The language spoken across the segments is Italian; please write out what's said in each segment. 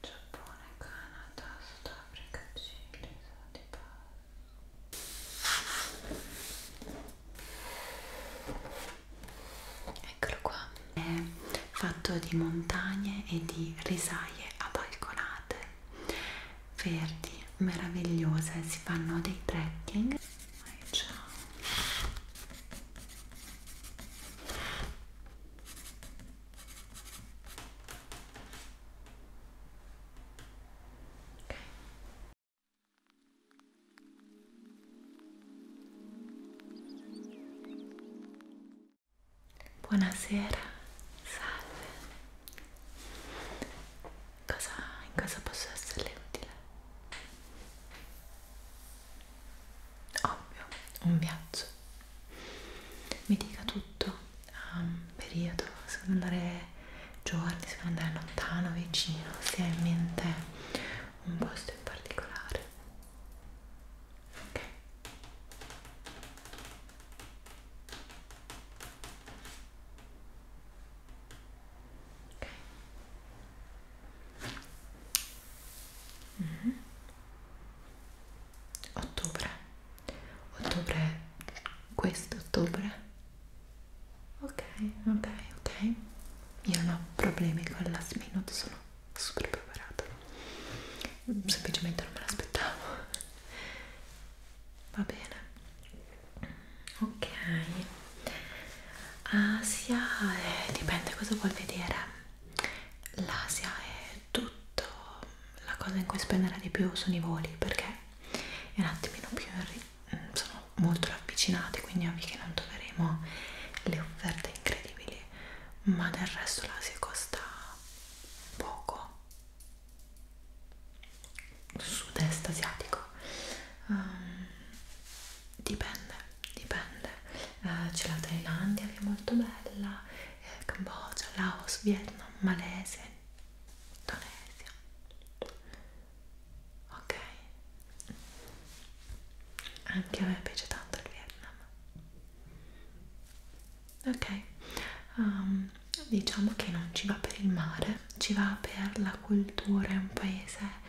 Giappone, Canada, Sudafrica, Cile, Stati Bassi. Eccolo qua. È fatto di montagne e di risaie abalconate, verdi, meravigliose. Si fanno dei trekking. Ciao. Buonasera, salve. Cosa, in cosa posso esserle utile? Ovvio, un viaggio mi dica tutto, um, periodo, se vuole andare giorni, se vuole andare lontano, vicino, se ha in mente un posto in particolare. Ok. Ok. Mm -hmm ottobre ottobre questo ottobre ok ok ok io non ho problemi con la minute sono super preparata semplicemente non me l'aspettavo va bene ok Asia eh, dipende cosa vuol vedere l'Asia è tutto la cosa in cui spenderà di più sono i voli perché è un attimino più mm, sono molto ravvicinati quindi è ovvio che non troveremo le offerte incredibili ma del resto l'Asia costa poco sud-est asiatico um, dipende dipende uh, c'è la Thailandia che è molto bella Cambogia, Laos, Vietnam, Malesia, Indonesia. Ok, anche a me piace tanto il Vietnam. Ok, um, diciamo che non ci va per il mare, ci va per la cultura. È un paese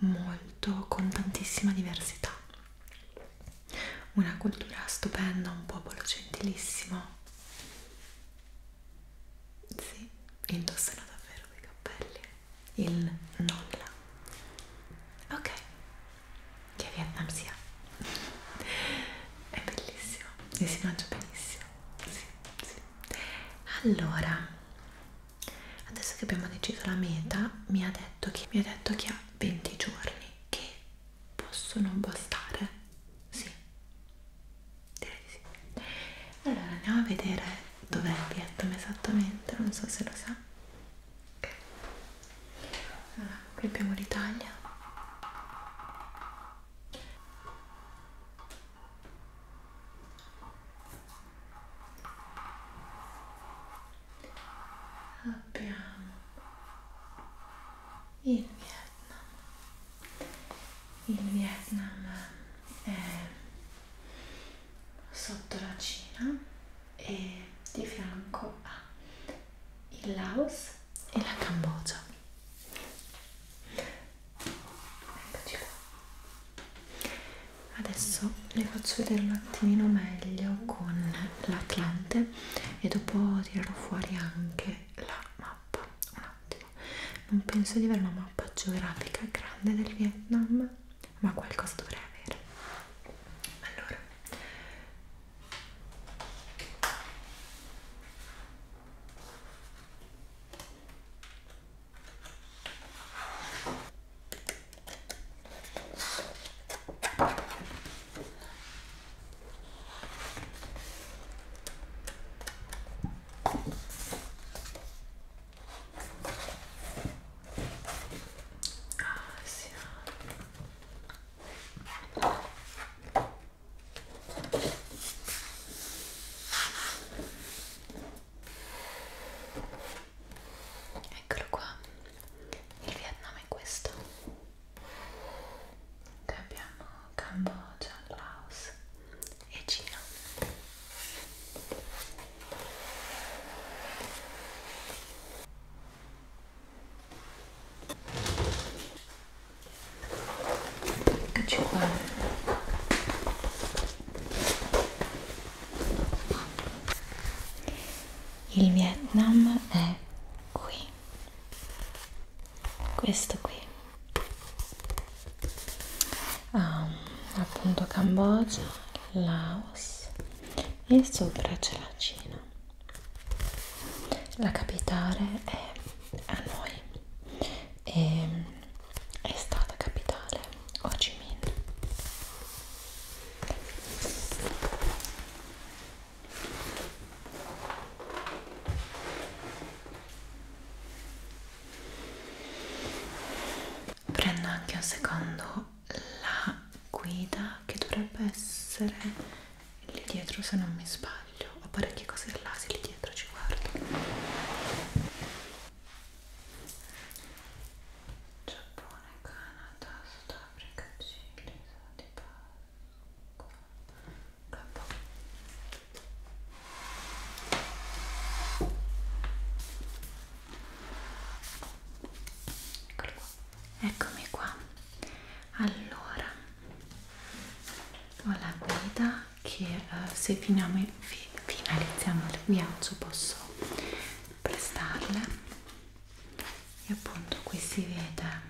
molto con tantissima diversità una cultura stupenda, un popolo gentilissimo. Sì, indossano davvero dei cappelli. Il nulla. Ok, che Vietnam sia. È bellissimo e si mangia benissimo. Sì, sì. Allora, adesso che abbiamo deciso la meta, mi ha detto che, mi ha, detto che ha 20 giorni che possono bastare sì direi di sì allora andiamo a vedere dov'è il Vietnam esattamente non so se lo sa okay. allora, qui abbiamo l'Italia abbiamo il Vietnam. Il Vietnam è sotto la Cina e di fianco ha il Laos e la Cambogia. Eccoci qua. Adesso le faccio vedere un attimino meglio con l'Atlante e dopo tirerò fuori anche la mappa un attimo non penso di avere una mappa geografica grande del Vietnam ma qualcosa dovrei avere allora sì. Eccolo qua il Vietnam è questo che abbiamo Cambogia, Laos e Cina eccoci qua il Vietnam è qui questo qui um, appunto Cambogia Laos e sopra c'è la Cina la capitale è Hanoi e ehm, è stata capitale Ho Chi Minh Prendo anche un secondo la guida che dovrebbe essere lì dietro se non mi sbaglio, ho parecchie cose là, se lì dietro ci guardo. Giappone. Giappone, Canada, Sudafrica, Cile, Stati Capo. Eccomi qua. Allora, ho la guida che eh, se finiamo, fi, finalizziamo il viaggio posso prestarle e appunto qui si vede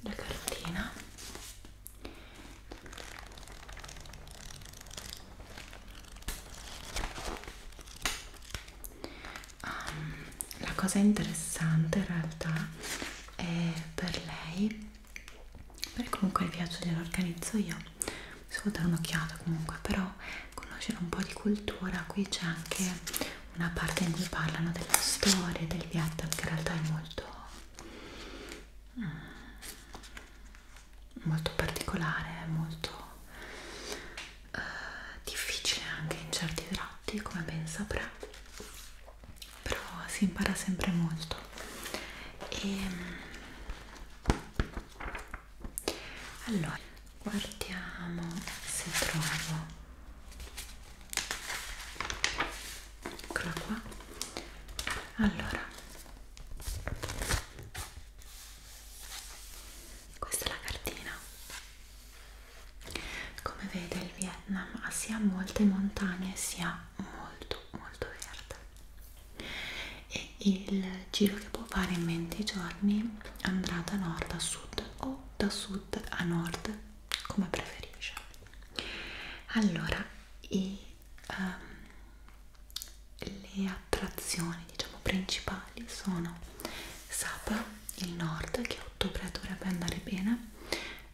la cartina um, la cosa interessante in realtà è per lei perché comunque il viaggio glielo organizzo io mi devo dare un'occhiata comunque però però conoscere un po' di cultura qui c'è anche una parte in cui parlano della storia del Vietnam che in realtà è molto mm, molto particolare molto eh, difficile anche in certi tratti come ben saprà però si impara sempre molto e ehm, allora guardiamo se trovo eccola qua allora questa è la cartina come vede il Vietnam ha sia molte montagne sia molto molto verde e il giro che può fare in 20 giorni andrà da nord a sud o da sud a nord come preferisce allora i, um, le attrazioni diciamo principali sono Sapa il nord che a ottobre dovrebbe andare bene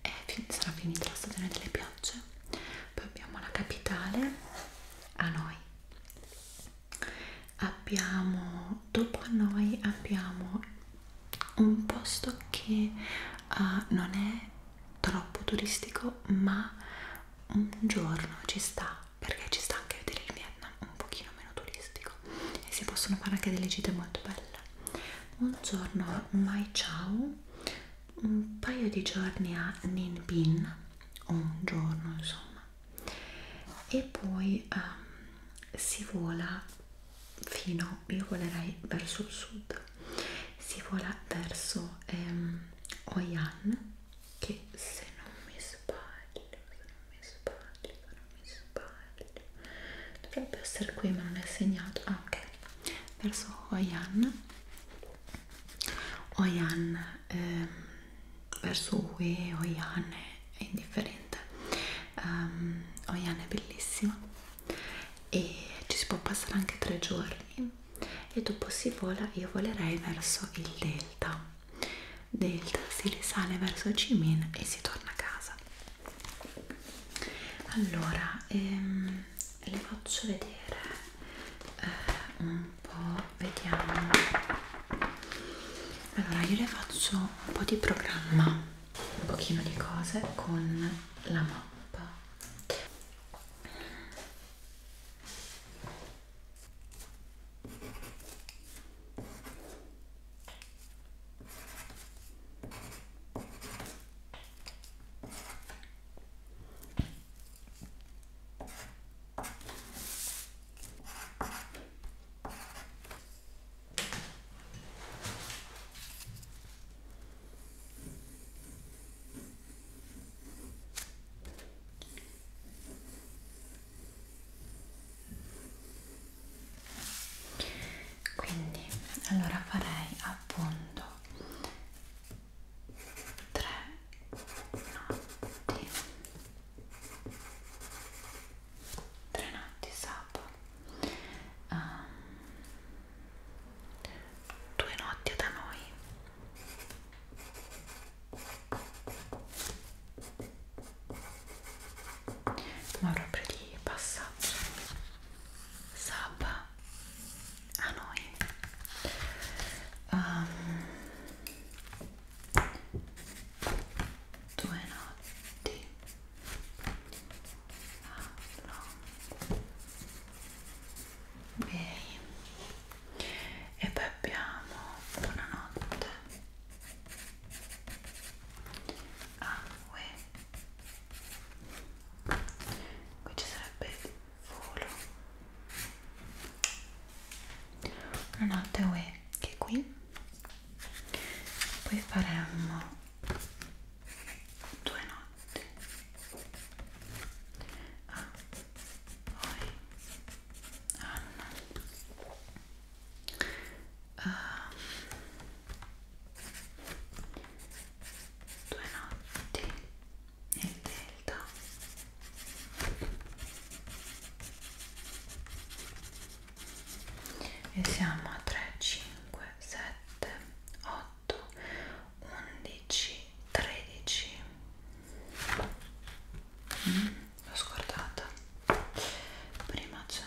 e fin sarà finita la stagione delle piogge poi abbiamo la capitale Hanoi abbiamo dopo noi abbiamo un posto che uh, non è troppo turistico ma un giorno ci sta perché ci sta anche vedere il Vietnam un pochino meno turistico e si possono fare anche delle gite molto belle un giorno a Mai Chau un paio di giorni a Ninh Binh un giorno insomma e poi um, si vola fino, io volerei verso il sud, si vola verso um, ehm, Oyan che se non mi sbaglio, se non mi sbaglio, se non mi sbaglio, dovrebbe essere qui ma non è segnato, ah ok, verso Oyan Oyan ehm, verso Uwe o Ian è indifferente um, ehm, Oian è bellissima e ci si può passare anche tre giorni e dopo si vola io volerei verso il delta delta si risale verso Cimin e si torna a casa allora ehm, le faccio vedere eh, un po' vediamo allora io le faccio un po' di programma un pochino di cose con la mappa quindi allora farei appunto tre notti tre notti sapo um, ehm, due notti da noi ma proprio di passaggio saba a noi um, due notti allora. ok e poi abbiamo buonanotte acque ah, qui ci sarebbe il volo buonanotte uè anche qui poi faremmo due notti ah, poi Anna ah, due notti nel delta e siamo a 3 5 7 8 11 13 mm, l'ho scordata prima c'è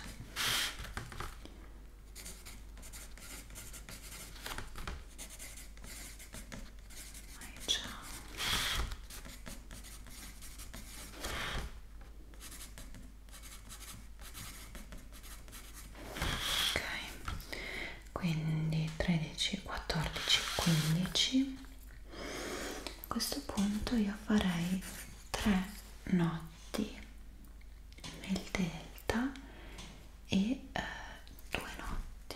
ciao ok quindi 13 14 15 a questo punto io farei 3 notti nel delta e eh, due notti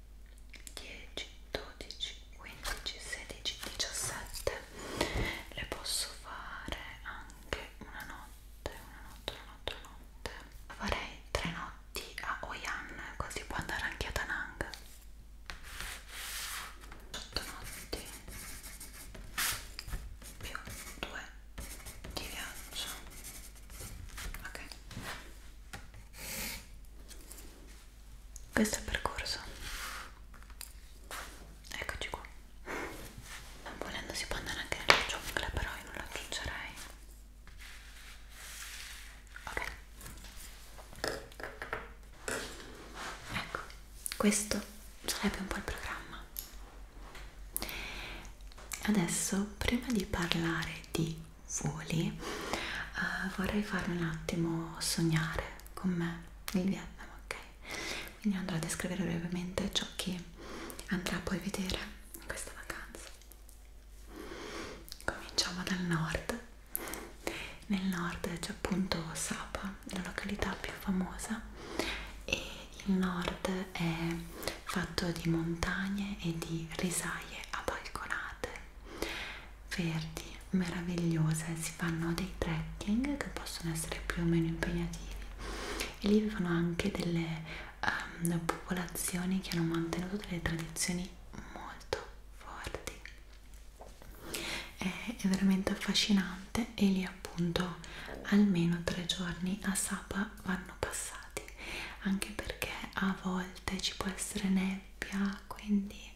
10, 12, 15, 16, 17 le posso fare anche una notte, una notte, una notte, una notte farei tre notti a Oyan così può andare anche a Danang 8 notti più 2 di viaggio ok questo è il percorso eccoci qua volendo si può andare anche nella giungla però io non la aggiungerei ok ecco questo sarebbe un po' il programma adesso prima di parlare di voli uh, vorrei farmi un attimo sognare con me il Vietnam, ok? Quindi andrò a descrivere brevemente ciò che andrà poi a vedere in questa vacanza. Cominciamo dal nord. Nel nord c'è appunto Sapa, la località più famosa e il nord è fatto di montagne e di risaie abalconate verdi meravigliose si fanno dei trekking che possono essere più o meno impegnativi e lì vivono anche delle um, popolazioni che hanno mantenuto delle tradizioni molto forti è, è veramente affascinante e lì appunto almeno tre giorni a Sapa vanno passati anche perché a volte ci può essere nebbia quindi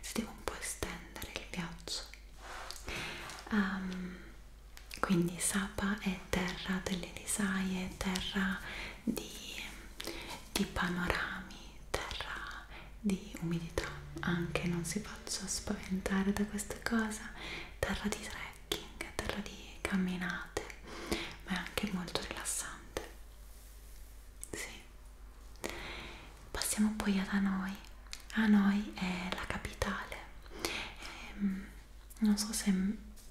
si deve un po' estendere il viaggio um, quindi Sapa è terra delle risaie, terra di, di panorami, terra di umidità anche, non si faccia spaventare da questa cosa terra di trekking, terra di camminate ma è anche molto rilassante sì Passiamo poi ad Hanoi. Hanoi è la capitale. Ehm, non so se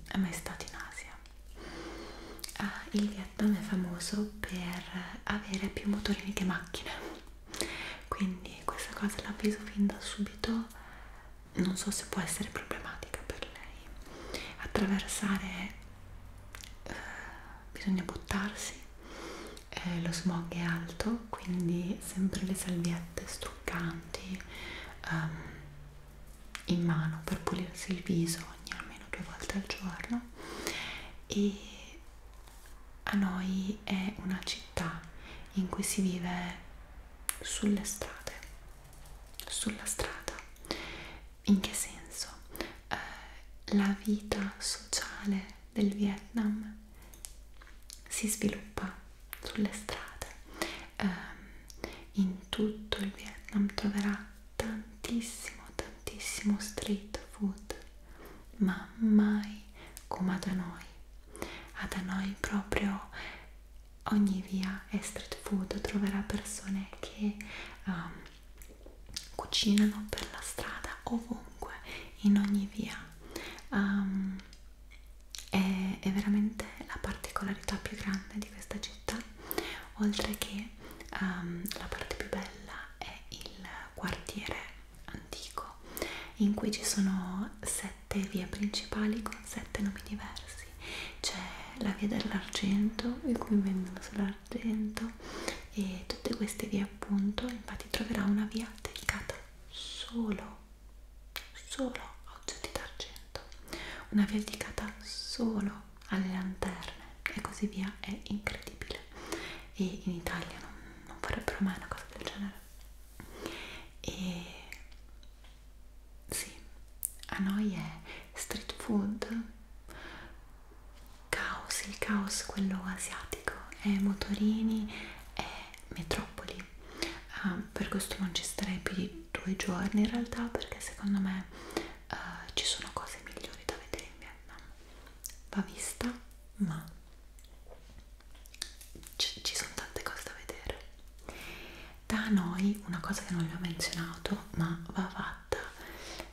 è mai stato in Asia. Ah, il Vietnam è famoso per avere più motorini che macchine, quindi questa cosa l'avviso fin da subito, non so se può essere problematica per lei. Attraversare eh, bisogna buttarsi eh, lo smog è alto quindi sempre le salviette struccanti um, in mano per pulirsi il viso ogni almeno due volte al giorno e a noi è una città in cui si vive sulle strade sulla strada in che senso? Eh, la vita sociale del Vietnam si sviluppa sulle strade, eh, in tutto il Vietnam troverà tantissimo, tantissimo street food, ma mai come da noi. A da noi proprio ogni via è street food, troverà persone che um, cucinano per la strada ovunque, in ogni via. Um, è, è veramente la particolarità più grande di questa città, oltre che um, la parte più bella è il quartiere antico in cui ci sono sette vie principali con sette nomi diversi c'è la via dell'argento in cui vendono solo argento e tutte queste vie appunto infatti troverà una via dedicata solo solo a oggetti certo d'argento una via dedicata solo alle lanterne e così via è incredibile e in Italia non, non farebbero mai una cosa del genere e sì a noi è street food caos, il caos quello asiatico, è motorini e metropoli. Uh, per questo non ci starei più di due giorni in realtà perché secondo me uh, ci sono cose migliori da vedere in Vietnam. Va vista, ma ci, ci sono tante cose da vedere. Da noi, una cosa che non vi ho menzionato, ma va fatta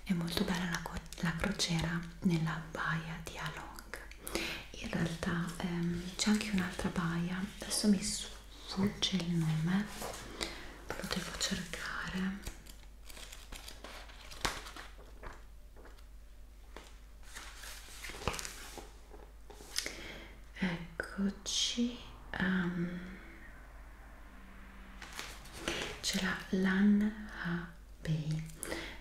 è molto bella la, la crociera nella baia di Along in realtà ehm, c'è anche un'altra baia adesso mi sfugge il nome lo devo cercare eccoci um, c'è la Lan Habei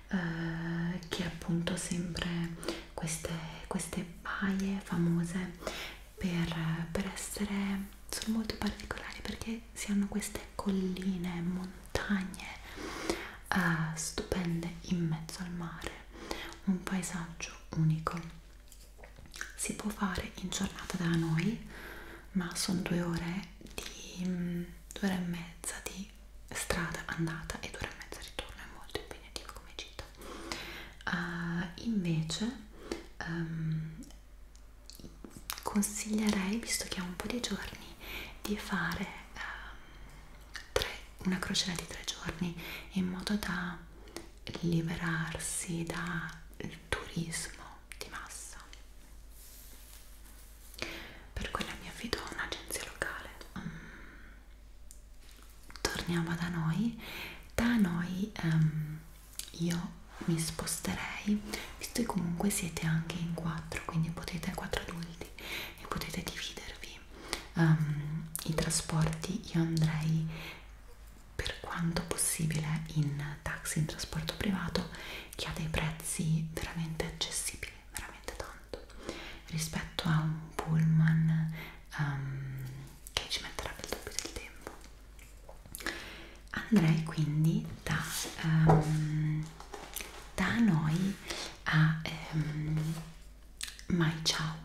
eh, che è appunto sempre queste, queste paie famose per, per essere sono molto particolari perché si hanno queste colline, montagne eh, stupende in mezzo al mare un paesaggio unico si può fare in giornata da noi ma sono due ore di mm, due ore e mezza di strada andata e due ore e mezza ritorno, è molto impegnativo come gita. Uh, invece um, consiglierei, visto che ha un po' di giorni, di fare um, tre, una crociera di tre giorni in modo da liberarsi dal turismo di massa per cui la mia affido a un'agenzia locale mm. torniamo da noi da noi um, io mi sposterei visto che comunque siete anche in quattro quindi potete quattro adulti e potete dividervi um, i trasporti io andrei per quanto possibile in taxi, in trasporto privato che ha dei prezzi veramente accessibili, veramente tanto rispetto a un pullman um, che ci metterebbe il doppio del tempo andrei quindi da, um, da noi a um, Mai Ciao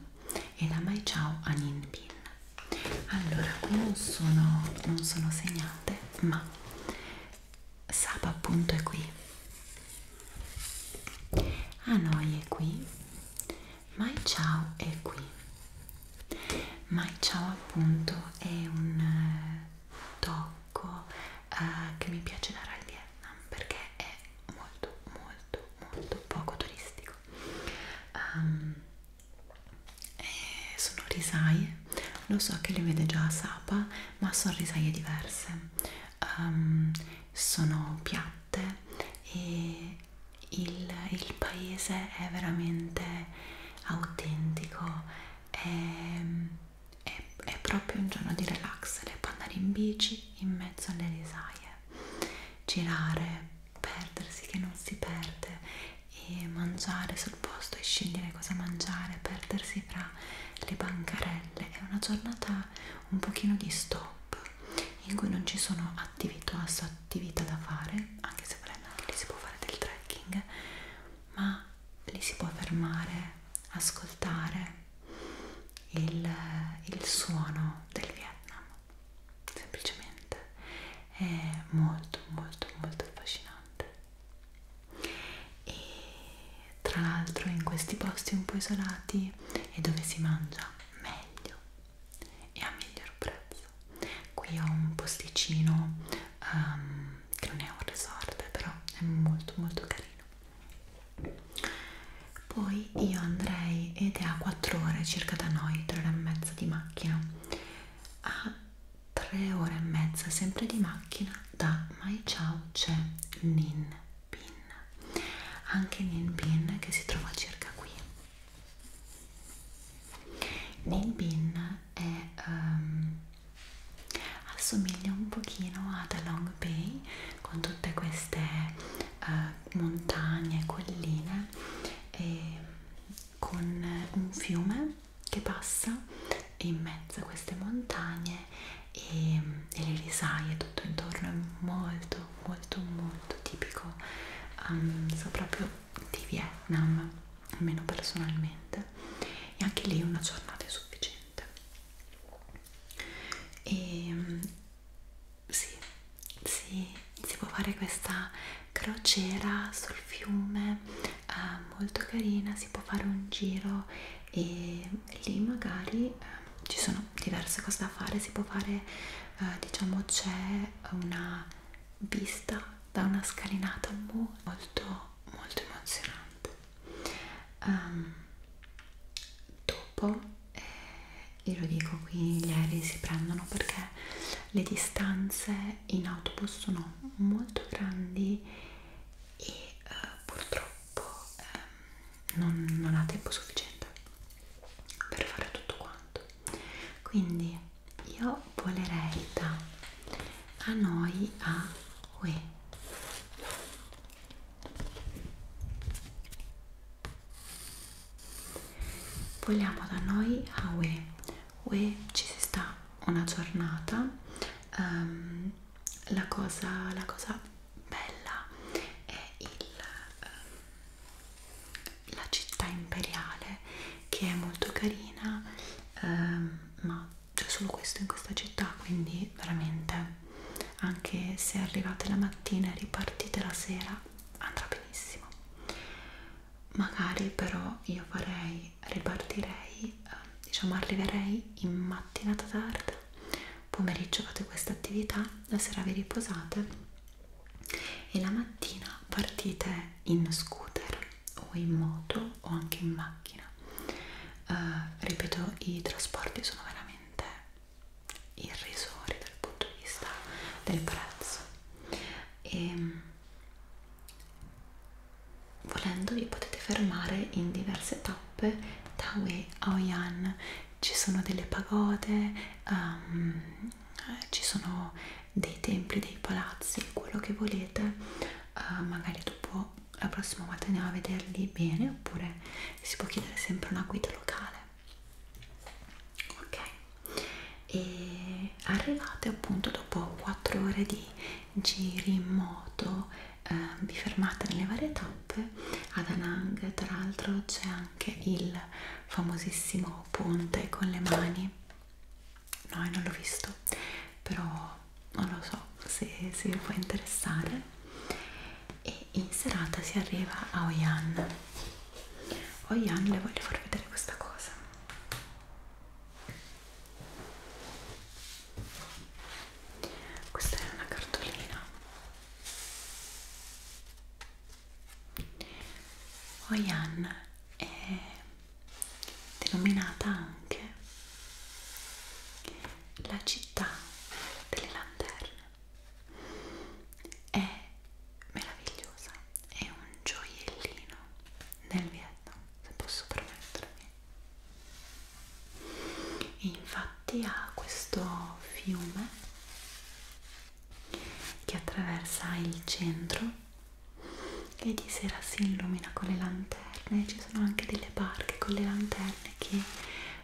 e da Mai Ciao a Ninbin allora qui non sono, non sono segnate ma Saba appunto è qui Hanoi è qui Mai Ciao è qui Mai Ciao appunto è un eh, tocco eh, che mi piace dare al Vietnam perché è molto molto molto poco turistico um, e eh, sono risaie lo so che le vede già a Sapa ma sono risaie diverse um, sono piatte e il, il paese è veramente autentico è, è, è proprio un giorno di relax le può andare in bici in mezzo alle risaie girare perdersi che non si perde e mangiare sul posto e scegliere cosa mangiare, perdersi fra le bancarelle. È una giornata un pochino di stop in cui non ci sono attività, attività da fare, anche se volendo anche lì si può fare del trekking, ma lì si può fermare, ascoltare il, il suono del Vietnam semplicemente è molto molto molto affascinante e tra l'altro in questi posti un po' isolati è dove si mangia meglio e a miglior prezzo qui ho un posticino um, che non è un resort però è molto molto carino poi io andrei ed è a 4 ore circa da noi, 3 ore e mezza di macchina a 3 ore e mezza sempre di macchina da Mai Ciao c'è Nin Pin anche Nin Pin che si trova circa qui Nin Pin è, um, assomiglia un pochino ad Along Bay con tutte queste uh, montagne, colline e con un fiume che passa in mezzo a queste montagne e, e le risaie tutto intorno è molto molto molto tipico um, so proprio di Vietnam almeno personalmente e anche lì una giornata è sufficiente e ehm, sì, sì si può fare questa crociera sul fiume eh, molto carina si può fare un giro e lì magari eh, ci sono diverse cose da fare si può fare eh, diciamo c'è una vista da una scalinata molto molto emozionante um, dopo eh, io lo dico qui gli aerei si prendono perché le distanze in autobus sono molto grandi e eh, purtroppo eh, non, non ha tempo sufficiente per fare tutto quanto quindi io volerei da a noi a UE vogliamo da noi a UE Uè, ci si sta una giornata, um, la, cosa, la cosa bella è il, um, la città imperiale che è molto carina, um, ma c'è solo questo in questa città, quindi veramente anche se arrivate la mattina e ripartite la sera andrà benissimo magari però io farei quindi ripartirei, ehm, diciamo arriverei in mattinata tarda, pomeriggio fate questa attività, la sera vi riposate e la mattina partite in scooter o in moto o anche in macchina. Uh, ripeto, i trasporti sono veramente irrisori dal punto di vista del prezzo e ehm, Volendo vi potete fermare in diverse tappe da Wei a Oyan, ci sono delle pagode, um, ci sono dei templi, dei palazzi, quello che volete, uh, magari dopo la prossima volta andiamo a vederli bene oppure si può chiedere sempre una guida locale. Ok, e arrivate appunto dopo 4 ore di giri in moto eh, vi fermate nelle varie tappe ad Anang tra l'altro c'è anche il famosissimo ponte con le mani no non l'ho visto però non lo so se, se vi può interessare e in serata si arriva a Oyan Oyan le voglio far vedere questa cosa questa è una cartolina. Oyan è denominata anche la città delle lanterne. È meravigliosa, è un gioiellino nel Vietnam, se posso permettermi. E infatti ha questo fiume che attraversa il centro e di sera si illumina con le lanterne, ci sono anche delle barche con le lanterne che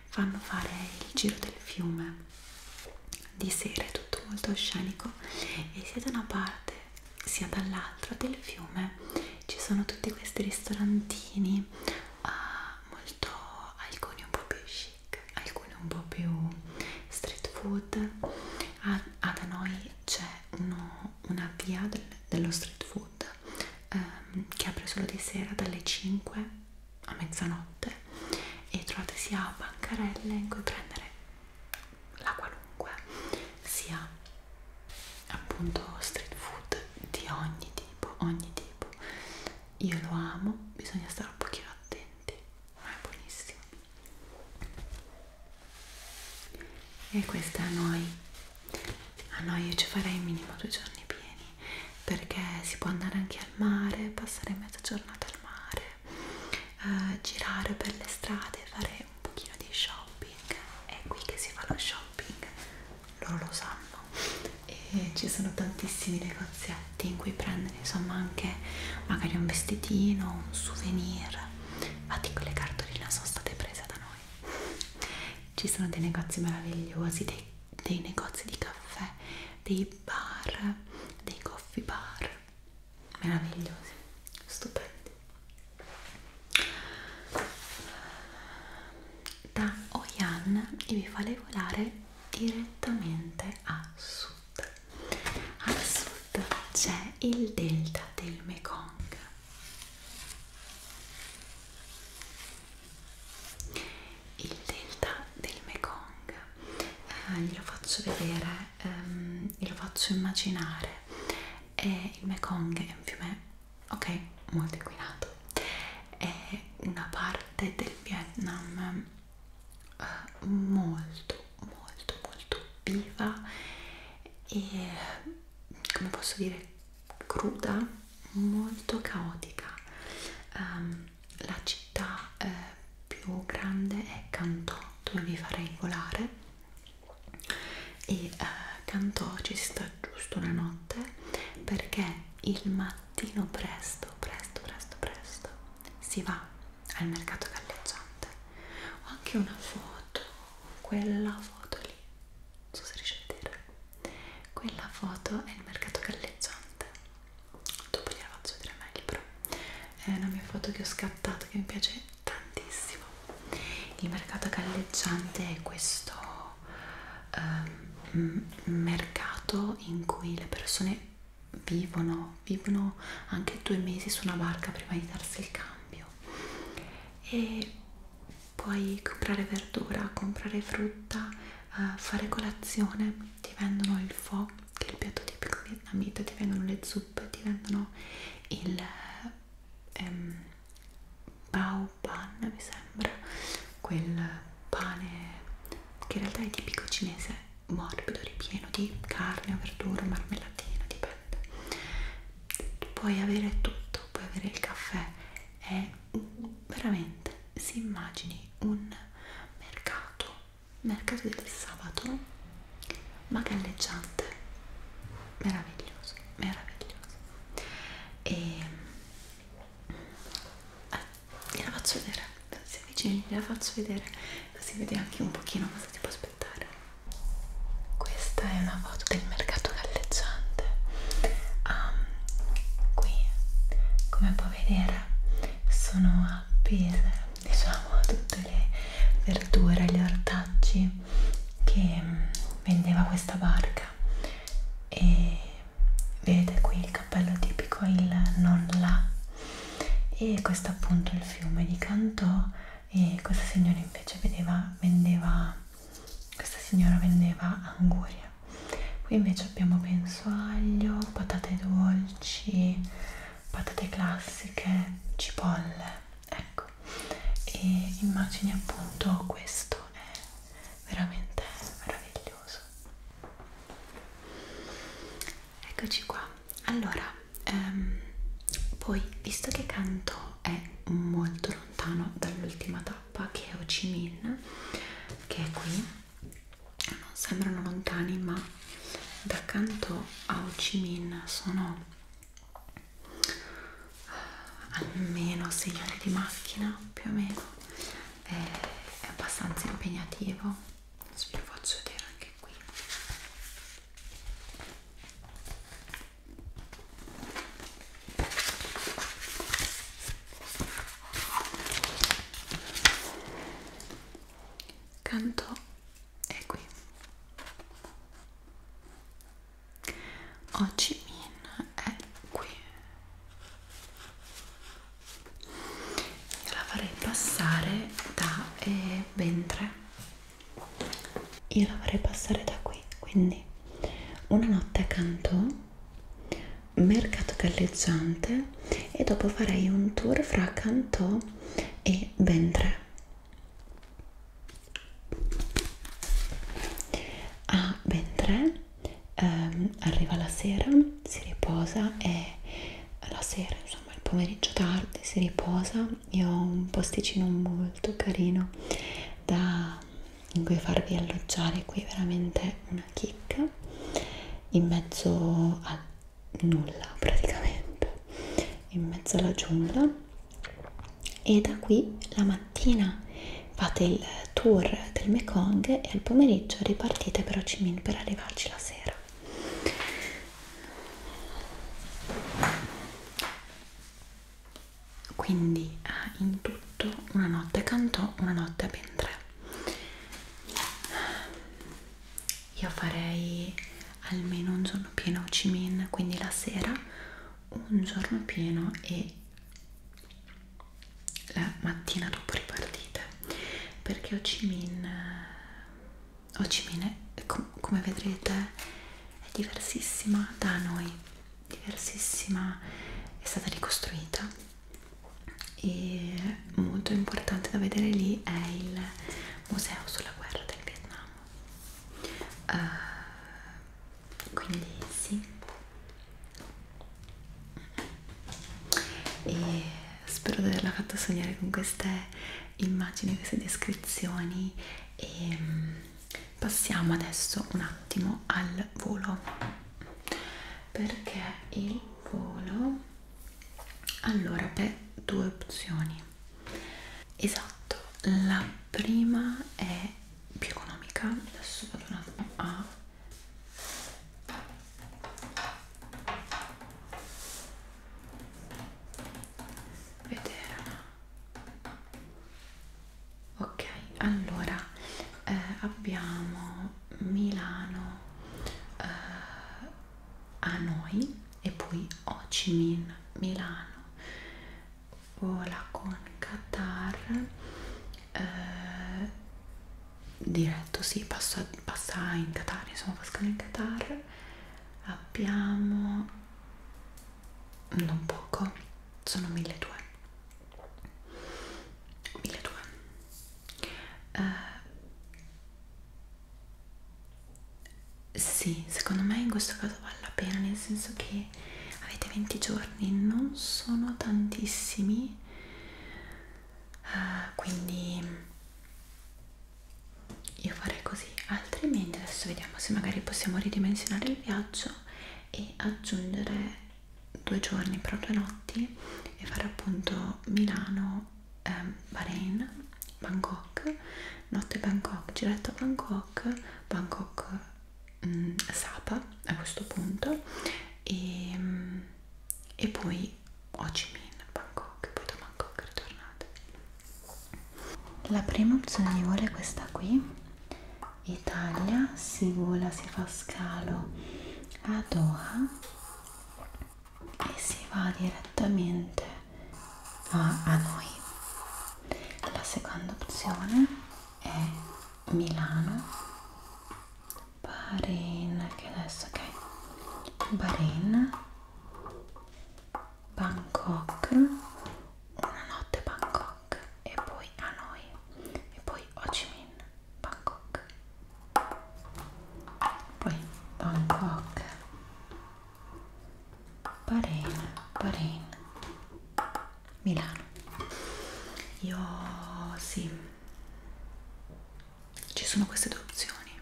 fanno fare il giro del fiume di sera, è tutto molto scenico e sia da una parte sia dall'altro del fiume ci sono tutti questi ristorantini uh, molto alcuni un po' più chic alcuni un po' più street food ah, ah, da noi c'è una via del, dello street food um, che apre solo di sera dalle 5 a mezzanotte e trovate sia bancarelle in cui prendere la qualunque sia appunto street food di ogni tipo ogni tipo io lo amo bisogna stare un pochino attenti ma è buonissimo e questa a noi a noi io ci farei minimo due giorni pieni perché si può andare anche al mare passare mezza giornata al mare eh, girare per le strade, fare un pochino di shopping, è qui che si fa lo shopping, loro lo sanno e ci sono tantissimi negozietti in cui prendere insomma anche magari un vestitino, un souvenir, infatti quelle cartoline sono state prese da noi, ci sono dei negozi meravigliosi, dei, dei negozi di caffè, dei bar, dei coffee bar meravigliosi, stupendi. Da Oyan io vi farei volare direttamente a sud. A sud c'è il delta del Mekong. Il delta del Mekong, eh, glielo faccio vedere, ehm, glielo faccio immaginare e il Mekong è un fiume, ok, molto inquinato è una parte del Vietnam uh, molto molto molto viva e come posso dire cruda molto caotica um, la città uh, più grande è Canton dove viva regolare e uh, eh, cantò ci si sta giusto una notte perché il mattino presto presto presto presto si va al mercato galleggiante ho anche una foto quella foto lì non so se riesci a vedere quella foto è il mercato galleggiante dopo gliela faccio vedere meglio però è una mia foto che ho scattato che mi piace tantissimo il mercato galleggiante è questo um, mercato in cui le persone vivono vivono anche due mesi su una barca prima di darsi il cambio e puoi comprare verdura comprare frutta uh, fare colazione ti vendono il fo che è il piatto tipico di vietnamita, ti vengono le zuppe, ti vengono il ehm, bao pan, mi sembra, quel pane che in realtà è tipico cinese, morbido, ripieno di carne, verdura, marmellatina, dipende. Puoi avere tutto, puoi avere il caffè, è veramente, si immagini un mercato, mercato del sabato ma galleggiante meraviglioso meraviglioso e allora, eh, gliela faccio vedere se avvicini gliela faccio vedere così vede anche un pochino cosa si può aspettare questa è una foto del mercato galleggiante um, qui come puoi vedere sono appese diciamo tutte le verdure, gli ortaggi che mm, vendeva questa barca e vedete qui il cappello tipico il non là e questo appunto il fiume di Cantò e questa signora invece vedeva, vendeva questa signora vendeva anguria qui invece abbiamo penso aglio, patate dolci patate classiche, cipolle ecco e immagini appunto questo è veramente meraviglioso eccoci qua allora ehm, poi visto che canto è molto lontano dall'ultima tappa che è Ho Chi Minh che è qui non sembrano lontani ma da canto a Ho Chi Minh sono almeno 6 ore di macchina più o meno è, è abbastanza impegnativo adesso vi faccio vedere anche qui canto è qui Ho Chi Minh è qui io la farei passare da eh, ben 3 io la farei passare da qui quindi una notte accanto mercato galleggiante e dopo farei un tour fra Cantò e Ventre ha ben tre ehm, arriva la sera si riposa e la sera insomma il pomeriggio tardi si riposa io ho un posticino molto carino da in cui farvi alloggiare qui veramente una chicca in mezzo a nulla praticamente in mezzo alla giungla e da qui la mattina fate il tour del Mekong e al pomeriggio ripartite per Ho Chi Minh per arrivarci la sera quindi ah, in tutto una notte cantò una notte ben tre io farei almeno un giorno pieno a Ho Chi Minh, quindi la sera un giorno pieno e la mattina dopo ripartite perché Ho Chi Minh, Ho Chi Minh è, com come vedrete è diversissima da noi diversissima è stata ricostruita e molto importante da vedere lì è il museo sulla guerra del Vietnam uh, quindi sì e spero di averla fatta sognare con queste immagini queste descrizioni e mm, passiamo adesso un attimo al volo perché il volo allora per due opzioni esatto la prima è più economica adesso vado un attimo a vedere ok allora eh, abbiamo Milano eh, Hanoi e poi Ho Chi Minh, Milano. Vola con Qatar, eh, diretto sì, passa, passa in Qatar, insomma pascano in Qatar. Abbiamo non poco, sono 1200. 1200. Eh, sì, secondo me in questo caso vale la pena, nel senso che avete 20 giorni, non sono tantissimi, uh, quindi io farei così, altrimenti adesso vediamo se magari possiamo ridimensionare il viaggio e aggiungere due giorni, però due notti e fare appunto Milano ehm, Bahrain, Bangkok, notte Bangkok, giretto a Bangkok, Bangkok mh, mm, Sapa a questo punto e, mh, e poi Ho Chi Minh, Bangkok, poi da Bangkok ritornate. La prima opzione di volo è questa qui. Italia, si vola, si fa scalo a Doha e si va direttamente a, a noi. La seconda opzione è Milano, Bahrain, che adesso ok, Bahrain, Bangkok, una notte Bangkok e poi Hanoi e poi Ho Chi Minh, Bangkok. Poi Bangkok, Bahrain, Bahrain, Milano. Io sì, ci sono queste due opzioni.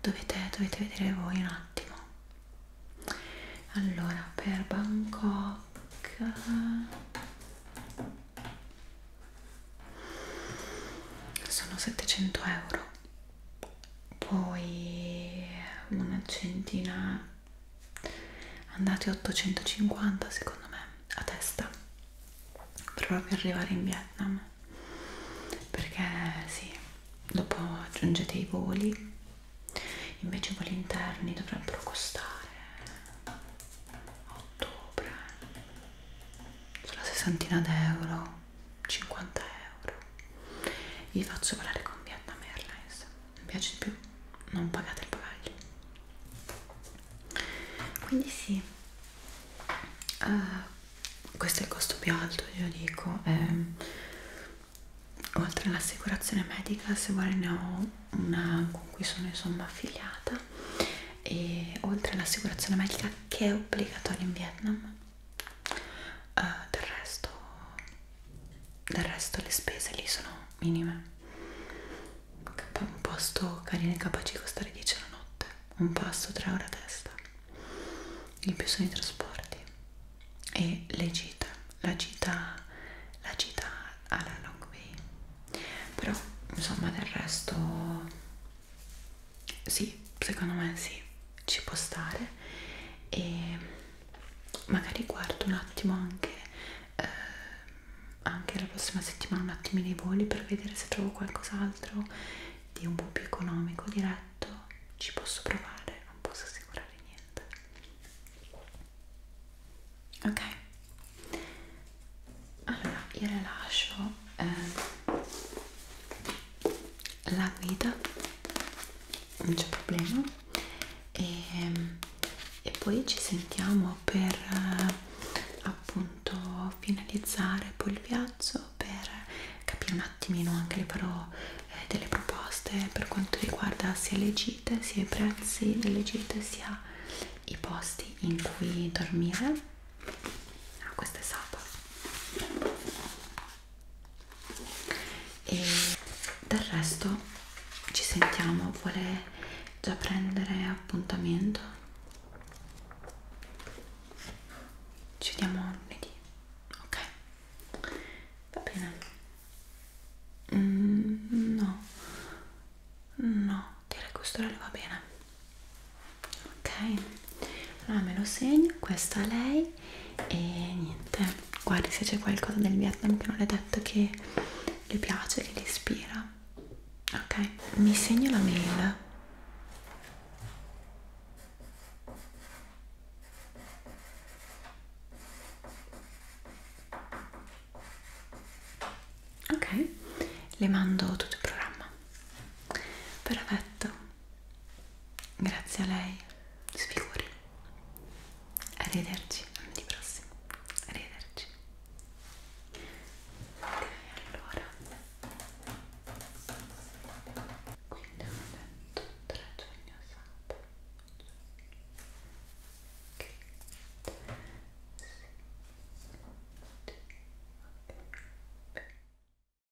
Dovete, dovete vedere voi un attimo. Allora, per Bangkok sono 700 euro poi una centina andate 850 secondo me a testa per proprio arrivare in Vietnam perché sì dopo aggiungete i voli invece i voli interni dovrebbero costare a ottobre sulla sessantina d'euro 50 euro vi faccio parlare con Vietnam Airlines mi piace di più non pagate il bagaglio quindi sì uh, questo è il costo più alto io dico ehm, oltre all'assicurazione medica se vuole ne ho una con cui sono insomma affiliata e oltre all'assicurazione medica che è obbligatoria in Vietnam uh, del resto del resto le spese lì sono minime un posto carino e capace di costare 10 la notte un passo 3 ore a testa il più sono i trasporti e le gite la gita la gita alla long way però insomma del resto sì, secondo me sì, ci può stare e magari guardo un attimo anche, eh, anche la prossima settimana un attimino i voli per vedere se trovo qualcos'altro di un po' più economico, diretto, ci posso provare, non posso assicurare niente. Ok, allora io rilascio eh, la guida non c'è problema e, ehm, e poi ci sentiamo per eh, appunto finalizzare poi il viaggio per capire un attimino anche le farò eh, delle proposte per quanto riguarda sia le gite sia i prezzi delle gite sia i posti in cui dormire ah, questo è sabato e del resto ci sentiamo vuole già prendere appuntamento ci vediamo lunedì ok va bene mm, no no direi che quest'ora le va bene ok allora me lo segno questa è lei e niente guardi se c'è qualcosa del Vietnam che non le detto che le piace che le ispira ok mi segno la mail ok le mando tutto il programma perfetto Grazie a lei, sfiguri. Arrivederci lunedì prossimo. Arrivederci. Ok, allora. Quindi ho detto 3 giugno sabato. Ok. Sì. Sì. Okay.